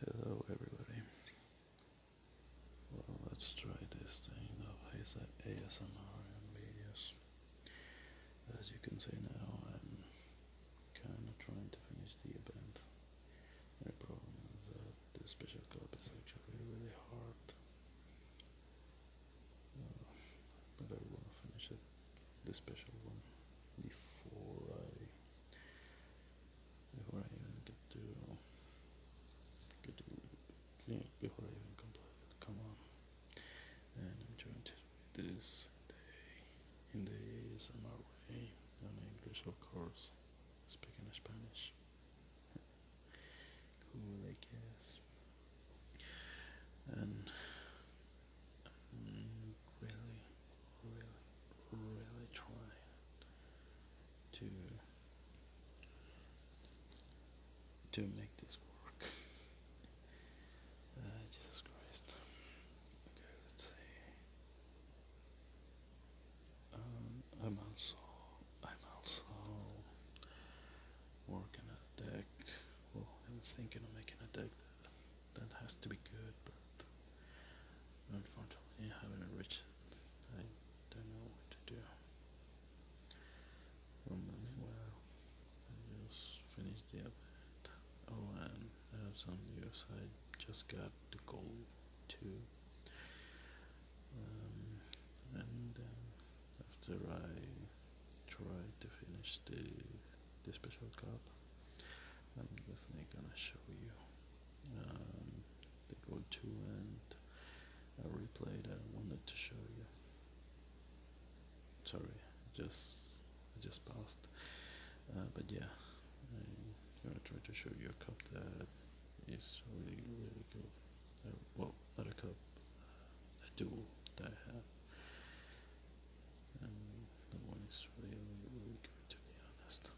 Hello everybody. Well, let's try this thing of ASMR and videos. As you can see now, I'm kind of trying to finish the event. The problem is that the special cup is actually really hard. Uh, but I want finish it, the special one, before I before I even get to get to before I even complete it. Come on, and I'm trying to read this in the summer way, in English, of course, speaking Spanish. cool, I guess. And um, really really, really trying to to make this work. Uh, Jesus Christ. Okay, let's see. Um, I'm also I'm also working a deck. Well, I was thinking of making a deck that has to be good, but unfortunately I haven't reached it. I don't know what to do. Um, well, I just finished the update. Oh, and I have some news. I just got the goal too. Um, and then um, after I try to finish the this special cup. I'm definitely gonna show you um, the go-to and a replay that I wanted to show you. Sorry, just just passed, uh, but yeah, I'm gonna try to show you a cup that is really really good. Uh, well, not a cup, a duel that I have and no one is really, really good to be honest.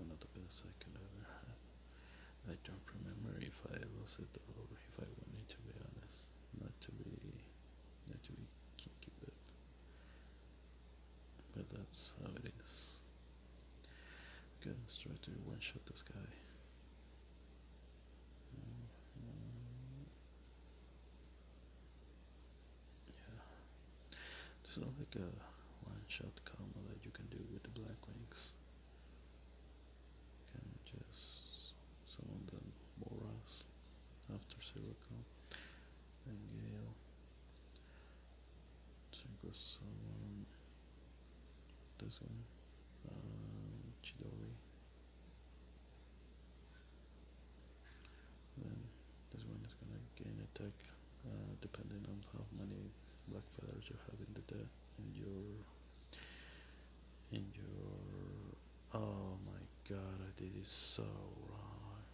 One of the best I could ever have. I don't remember if I lost it or if I wanted to be honest. Not to be, not to be kinky, but, but that's how it is. Okay, let's try to one shot this guy. Mm-hmm. Yeah. There's like a one shot combo that you can do with the black wings. can just summon Boras after Sirocco and Gale. Synchro summon this one. Um, Chidori then this one is gonna gain attack uh, depending on how many black feathers you have in the deck in your in your oh my god I did it so wrong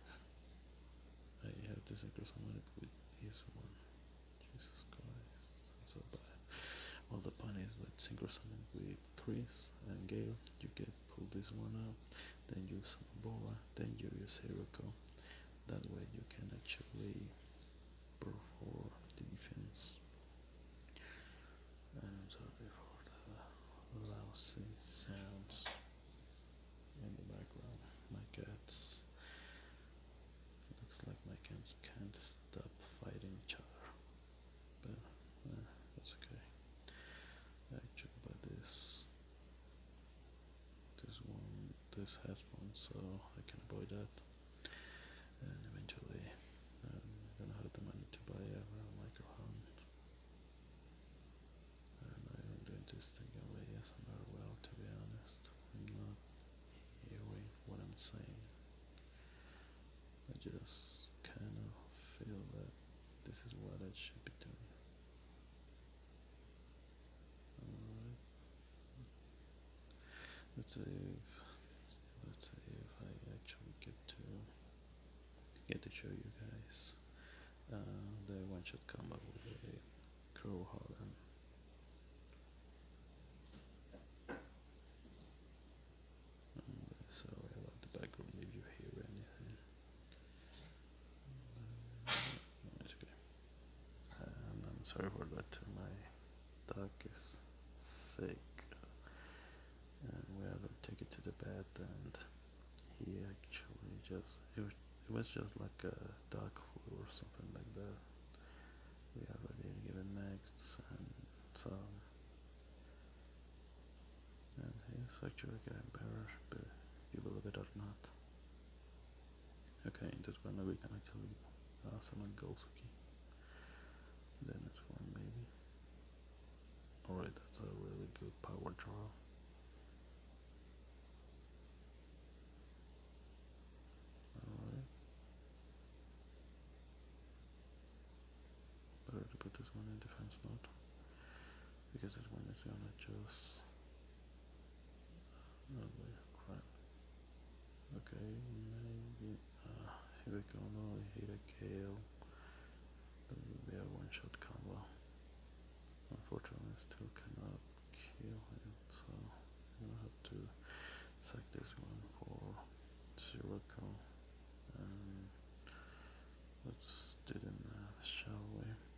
I have this synchro summon with this one Jesus Christ so bad well the pun is that synchro summon with Chris and Gale you get pull this one out then use some bola then you use Heroku that way you can actually perform the defense and I'm sorry for the lousy sounds in the background my cats looks like my cats can't stop fighting each other but eh, that's okay I actually by this this one this has one so I can avoid that and eventually i don't have the money to buy a real microphone and I'm doing this thing away not well to be honest I'm not hearing what I'm saying I just kinda feel that this is what I should be doing let's see if, let's say if I actually get to get to show you guys uh, the one come up with a crow Holland. Um, sorry about the background if you hear anything. Um, I'm sorry for that. My dog is sick, and we had to take it to the vet, and he actually just it was, just like a dog flu or something like that. We already given next, and so and he's actually getting better, but you believe it or not. Okay, that's why maybe we can actually pass on a goals Then it's one maybe. Alright, that's a really good power draw. better to put this one in defense mode because this one is gonna just Okay, maybe here we go now, hit a KO. That will be a one shot combo. Unfortunately, I still cannot kill it, so i have to sack this one for zero call. let's do it math, shall we?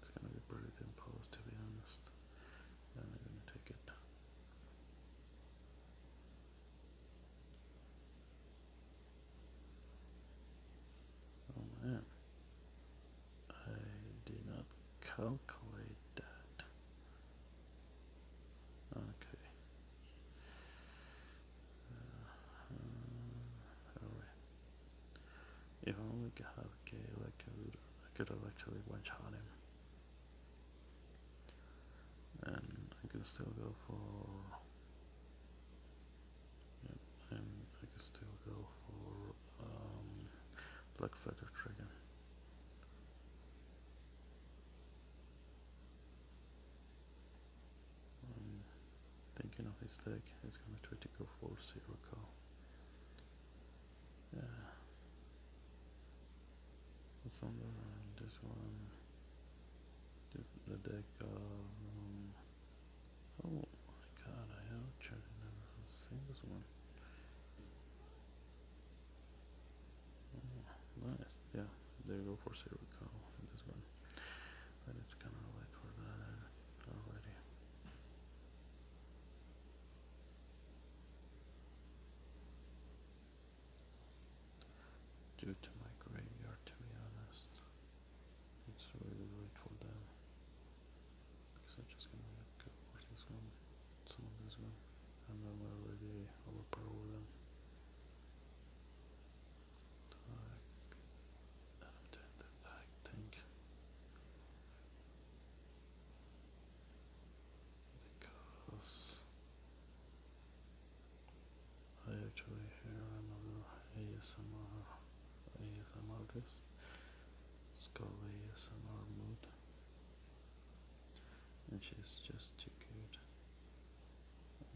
It's going to be British Impulse, to be honest. And they're going to take it. Oh man. I did not calculate that. Okay. Uh, uh, oh, all right. If only Kahake could, I could have actually one shot him. And I could still go for. Yeah, and I could still go for um, Black Feather Dragon. Um, thinking of his leg, he's gonna try to go for zero call. Yeah. What's on the line? This one. This the deck of. Um, oh my god, I actually never seen this one. Oh, nice. Yeah, they go for zero call in this one. But it's kinda late for that uh, already. Due to my graveyard, to be honest, it's really late for them. Because I'm just gonna let go of this one, some of this one, and then we'll already them. I think because I actually hear another ASMR ASMR artist. It's called ASMR Mood, and she's just too good.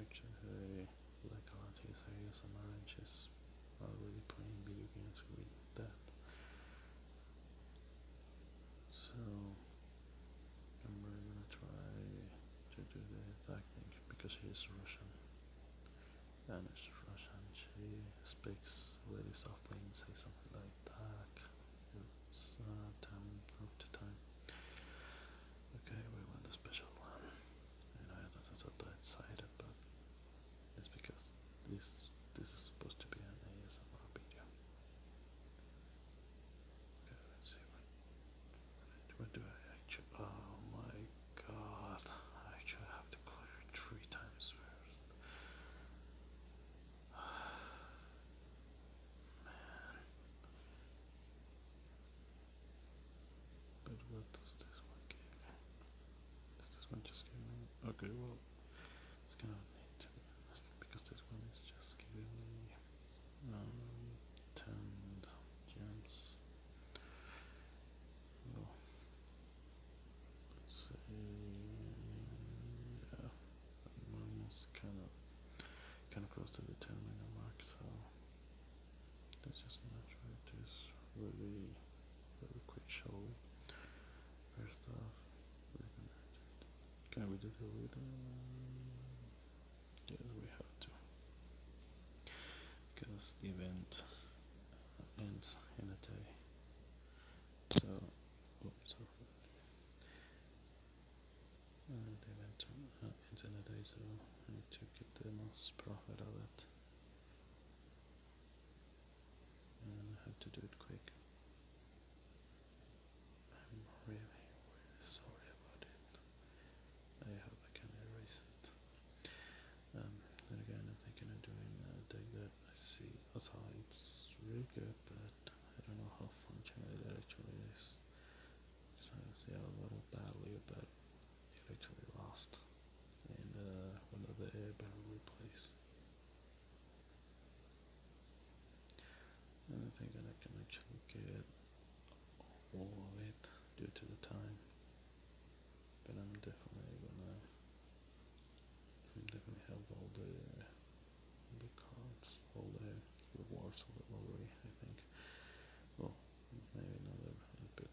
Actually, like artist ASMR, and she's was already playing video games we that. So I'm gonna try to do the tactic because he's Russian Danish, Russian she speaks really softly and says something like that it's uh, time to time okay we want the special one and I that's what I decided but it's because this this is supposed to be an ASMR video. Okay, let's see what, what do I oh my god, I have to clear three times first. Man But what does this one give this one Okay, well, it's gonna because this one is just giving me um, ten gems. let's see. Yeah, I'm almost kind of kind of close to the ten minute mark, so let's just measure this really quick, shall First off, can we do the little? Yes, we have to. Because the event ends in a day. So, oops, sorry. And uh, the event uh, ends in a day, so to get the most profit out of it. I had to do it quick. I'm really, sorry about it. I hope I can erase it. Um, again, I'm thinking of uh, doing that I see as how it's really good, but I don't know how functional it actually is. Because I see a little badly, but it actually lost and another uh, one other airbag I think I can actually get all of it due to the time, but I'm definitely gonna definitely have all the the cards, all the rewards of the lottery. I think. Well, another epic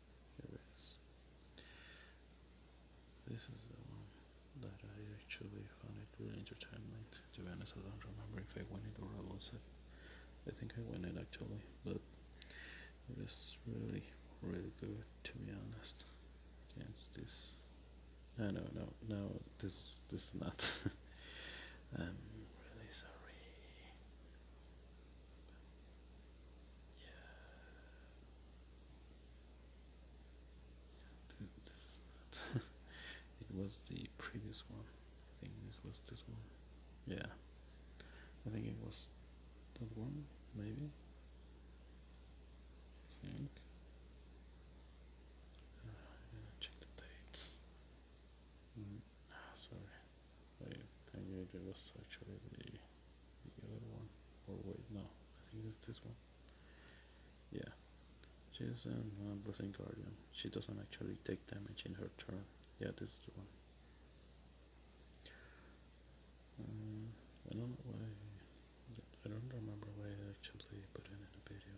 This is the one that I actually found it really entertaining. To be honest, I don't remember if I won it or it. I think I won it actually, but it is really, really good to be honest. Against this, no, no, no, no, this, this is not. I'm really sorry. Yeah. Dude, this is not. it was the previous one. I think this was this one. Yeah. I think it was that one, maybe. think. Uh, check the dates. Mm. Ah, sorry. Wait, I think it was actually the, other one. Or wait, no, I think it's this one. Yeah. She's a Blessing Guardian. She doesn't actually take damage in her turn. Yeah, this is the one. Um, I don't know why. I don't remember why I actually put it in the video.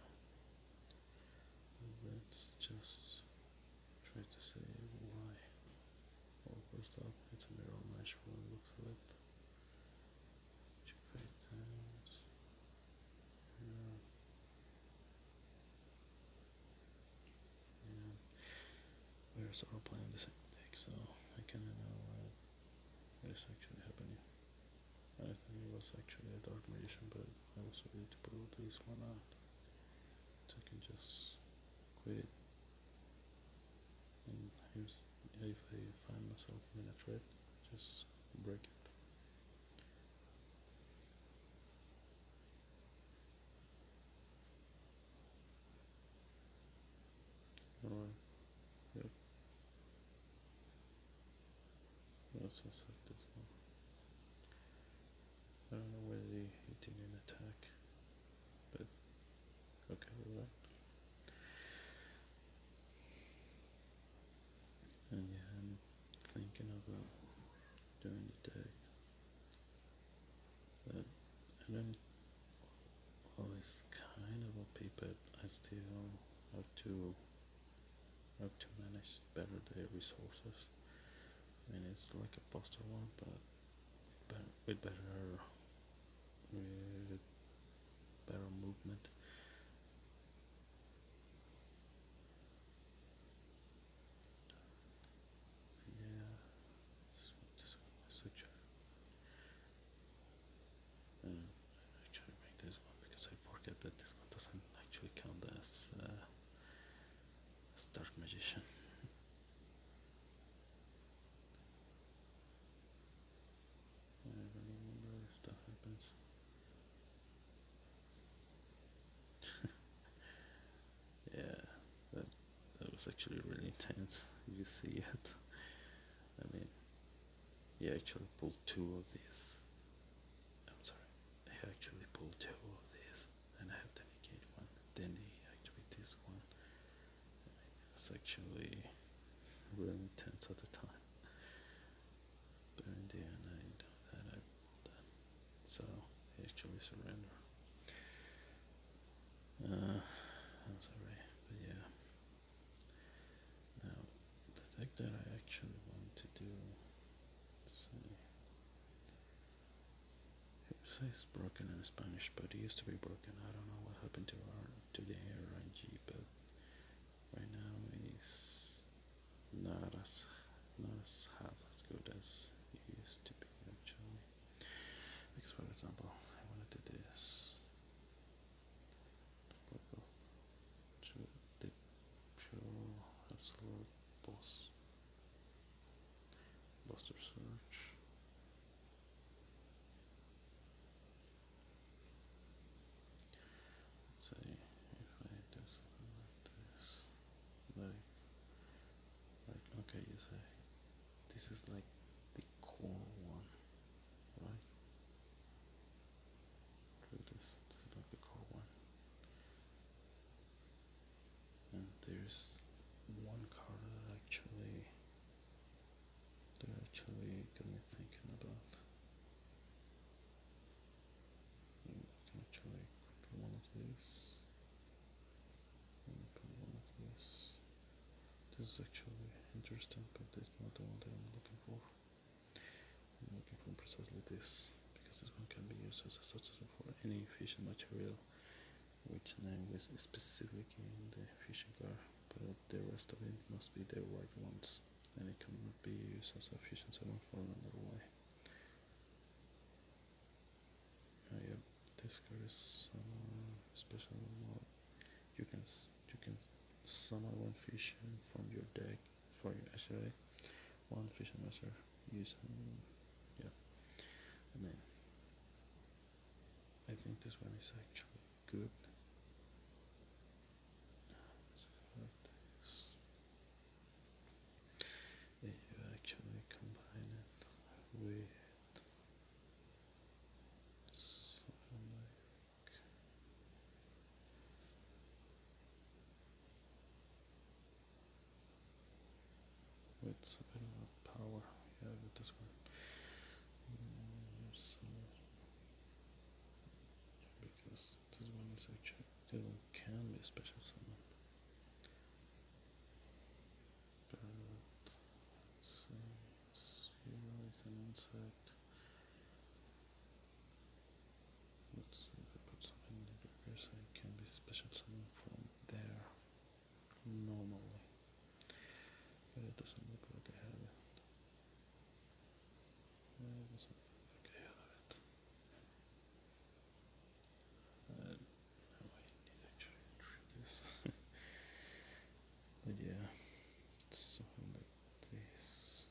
let just tries to say why. All closed up. it's a mirror match from the looks of it. Two face times. Yeah. We are sort of playing the same deck, so I kinda know uh, what is actually happening. I think it was actually a dark magician, but I also need to pull this one out. So I can just quit. And if, I find myself in a trap, just break it. Alright, yep. let this one. I don't know whether the did in attack, but okay with that. And yeah, I'm thinking about um, doing the day, but I don't always kind of a paper. I still have to have to manage better the resources. I mean, it's like a buster one, but with better better movement yeah switch uh, actually make this one because I forget that this one doesn't actually count as uh, dark magician stuff happens. yeah, that that was actually really intense. You see it. I mean, he actually pulled two of these. I'm sorry, he actually pulled two of these and I have to one. Then they one. It's actually really intense at the time. But in I i So actually surrender. Uh, I'm sorry, but yeah. Now, the deck that I actually want to do. It's broken in Spanish, but it used to be broken. I don't know what happened to our to the RNG, but right now it's not as not as half as good as it used to be actually. Because for example, I want to do this. Buster search. let if I do something like this. Like, like okay, you say this is like the core one, right? This, this is like the core one. And there's one card that actually that actually got me thinking about. actually put one of these. Put one This is actually interesting, but it's not the one that I'm looking for. I'm looking for precisely this because this one can be used as a substitute for any fission material which language is specific in the fishing car, but the rest of it must be the white ones, and it cannot be used as a fishing salmon for another way. Uh, yeah, this card is um, special You can you can summon one fish from your deck for your SRA, one fish master use um, Yeah. And then I think this one is actually good. If you actually combine it with something it's a bit of power, yeah, with this one. because this one is actually still can be a special summon. But if I put something in here so it can be special summon from there normally. But it doesn't look like I have it. It doesn't look I have it. I don't know I need actually to this. but yeah, something like this.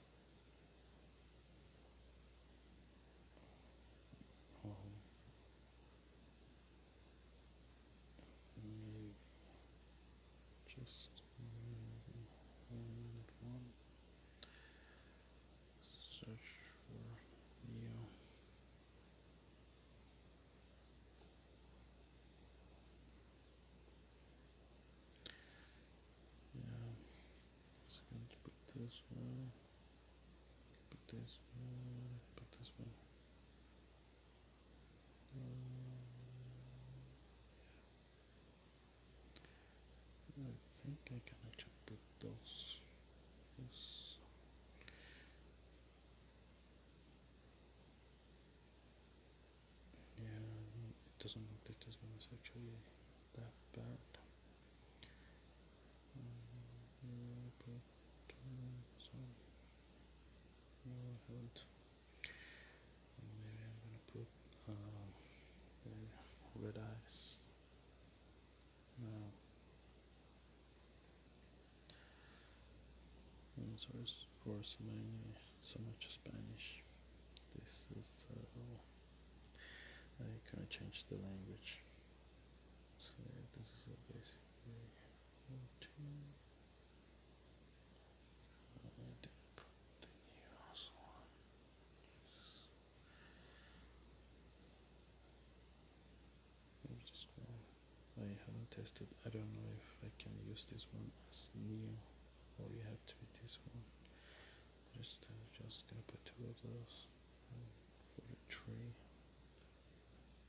Oh, just one search for Neo. Yeah, it's going to put this one. Put this one, put this one. I think I can actually put those. Yeah, doesn't look like this one is actually that bad. So maybe I'm gonna put red eyes now I'm sorry for so much Spanish this is uh, oh, I can of changed the language so this is basically into and put the nails on. Maybe just one. I haven't tested. I don't know if I can use this one as new or you have to be this one. Just I'm uh, just gonna put two of those um, for the tree.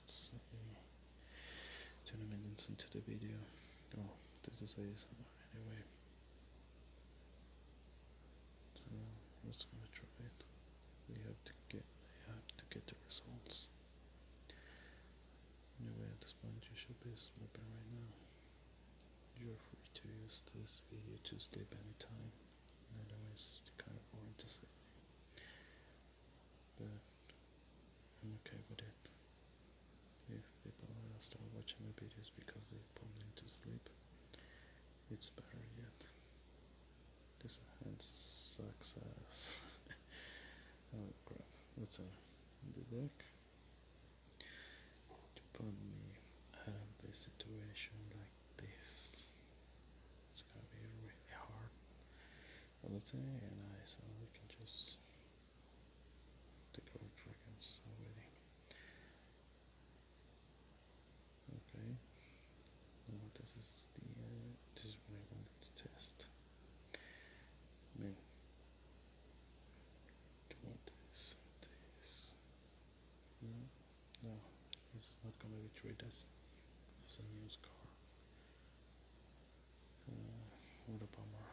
Let's see. Twenty minutes into the video. Oh, this is ASMR anyway. So let's gonna try it. We have to get. We have to get the results. Anyway, at this is open right now. You're free to use this video to sleep anytime. otherwise, it's kind of boring to sleep. But I'm okay with it. If people are still watching the videos because they are fall into sleep, it's better yet. This hand sucks ass. oh crap, that's a the deck put me out of situation like this. It's gonna be really hard all the time, so we can just take our dragons already. Okay, this is the this is what I wanted to test then No, no, it's not gonna be treated as a news car. what a bummer.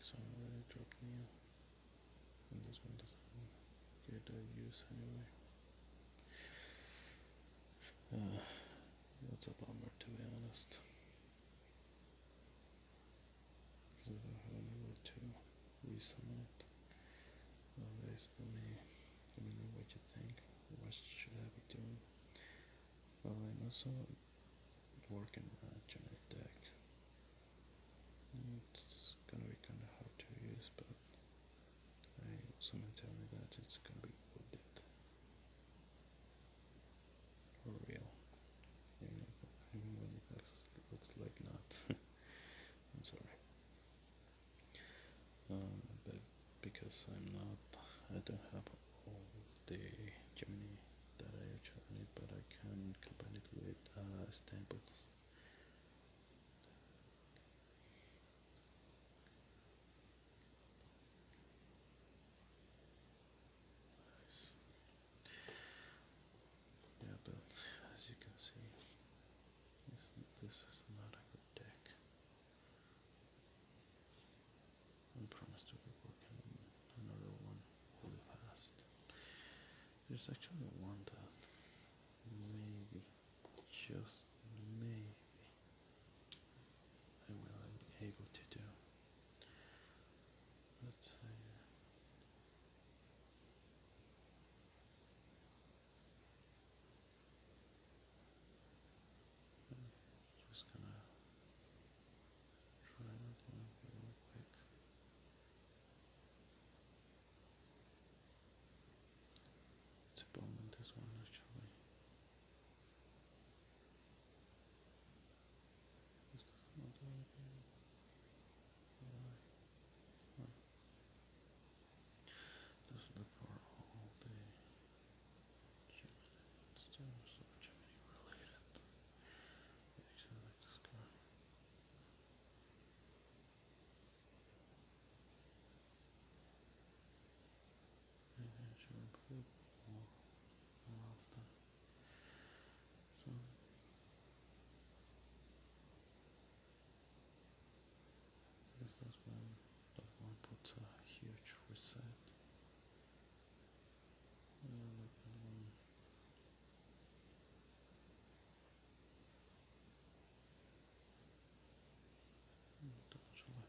So I already dropped new, and this one doesn't get a use anyway. That's a bummer, to be honest. Because I don't to resummon it. Nowadays, let me, let me know what you think. What should I be doing? Well, I'm also working on a deck. It's gonna be kinda hard to use, but someone tell me that it's gonna be worth for real. I when it looks, like not. sorry. but because I'm not, I don't have all the Gemini that I actually need, but I can combine it with uh, Stamples. Yeah, but as you can see, this, is not a good deck. I promise to be on another one really fast. There's actually one that maybe, just maybe, I will be able to do. let I'm just gonna try that one real quick. It's a bone one actually. This does not do anything. Why? Why? This is the part all day. Gemini. It's still so Gemini related. Yeah, actually like this guy and it should improve more more often. So this was when the one put a huge reset. And um, Double July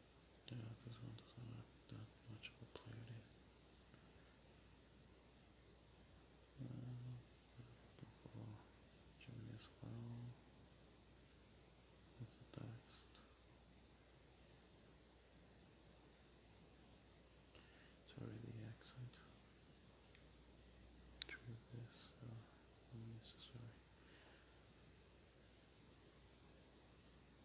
The others want to have that much of a clarity. as well with the text. Sorry, the accent. True this uh, unnecessary.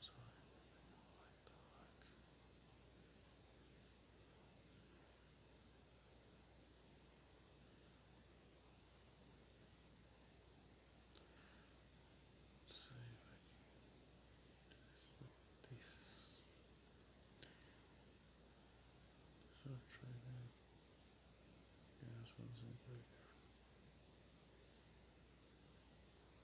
So I like dark. Let's see I can do this So i try that. Yeah, this one's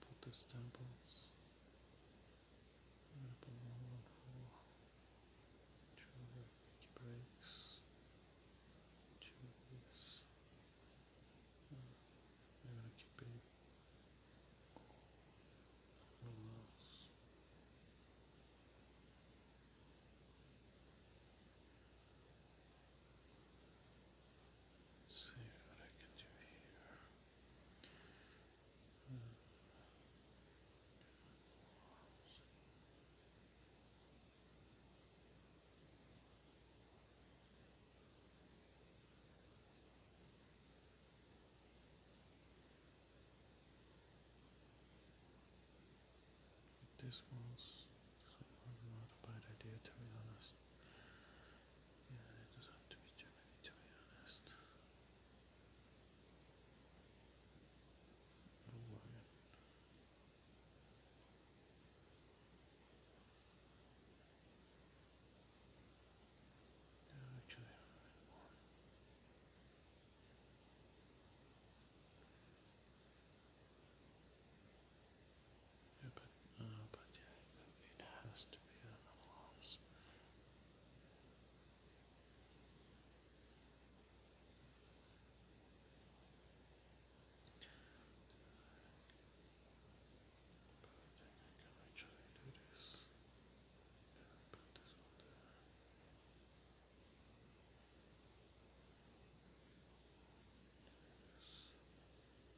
Put Buddhist temples, Nepal, traffic breaks, trees, uh, Mirakipi, Rulas. Let's see what I can do here. Uh, somewhat modified idea, to be honest. it does have to be Germany, to be honest. actually, uh, but, yeah, it has to be an alarms. But I think I can actually do this. Yeah, this one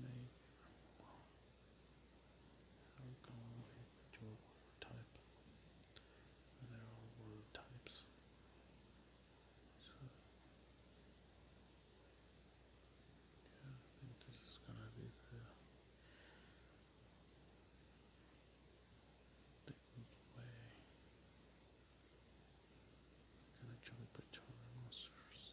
Maybe well, i go with your type. There are word types. So, I think this is gonna be the the way. can actually put all the monsters.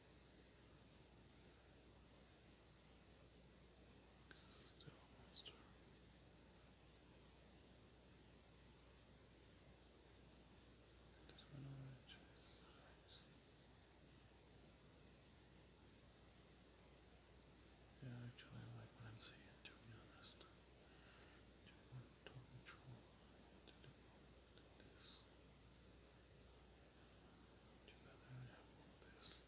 Still a monster. This one orange is right. Yeah, actually I like what I'm seeing to be honest. To control this. Together, hold this.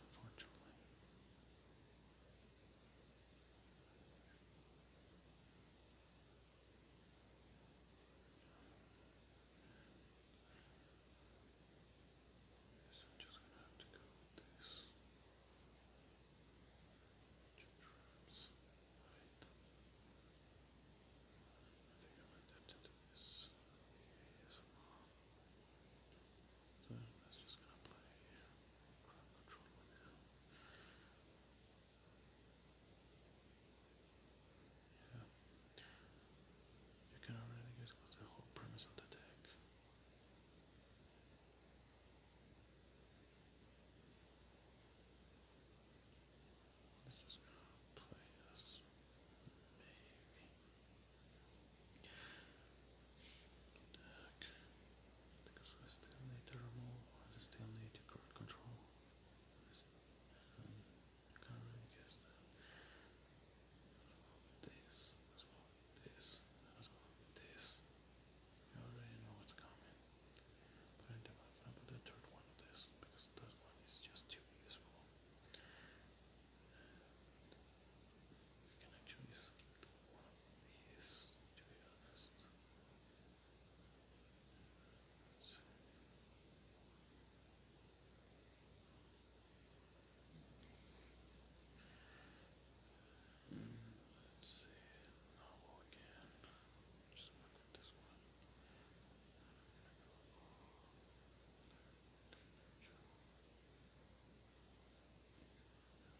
unfortunately, I'm just going to have to go with this. Traps. Right. I think I'm going to this. So that's just gonna play You can already guess what's the whole premise of the deck. Let's just play this because I still need to remove, still need control. This, this, this. You already know what's coming. I'm going the third one of this because the one is just too useful. You can actually skip one of these, to be honest. Let's see, novel again. Just work with this one.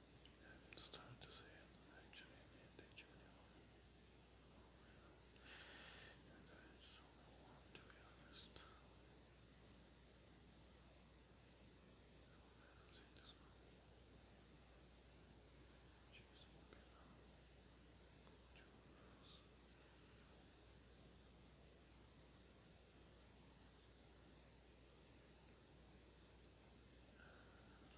And it's time to say it. Actually, I need to join you. And I just don't want to be honest. I'm saying this one. Choose to be now. Choose. But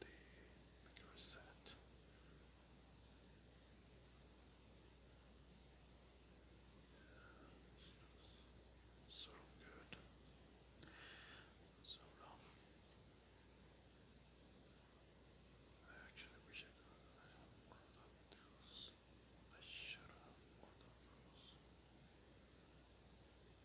the bigger So good. So dumb. I actually wish I could I of those. I should have one of those.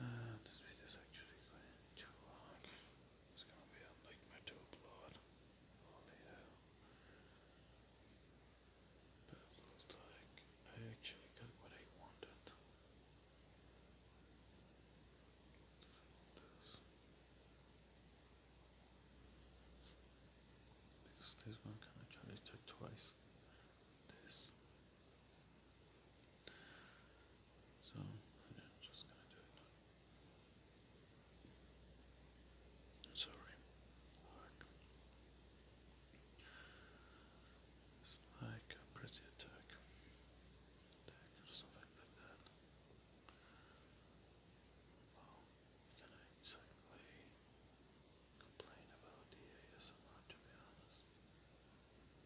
Uh, this video actually going too long. It's gonna be a nightmare to upload. But it looks like I actually got what I wanted. Because this one can actually take twice this. So I'm just gonna do it. Sorry. like a pretty attack. or something like that. Well, can I exactly complain about the ASMR to be honest?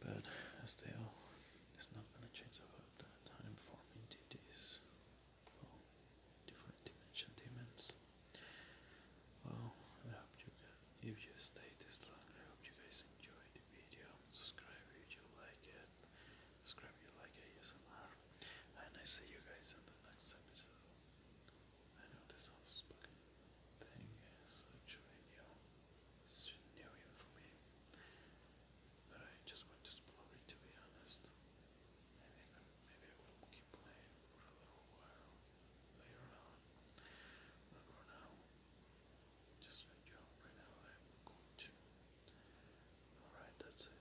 But as they are, it's not going to change about that. I'm forming entities, different dimension demons. Well, I hope you guys, if you stayed this long, I hope you guys enjoy the video. Subscribe if you like it. Subscribe if you like ASMR. And I see you guys in the next episode. I know this off-spoken thing is actually new. It's new in for me. But I just want to explore it to be honest. I maybe I will keep playing for a little while later on. But for now, just like you right now, I'm going to. Alright, that's it.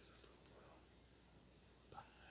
This is Bye.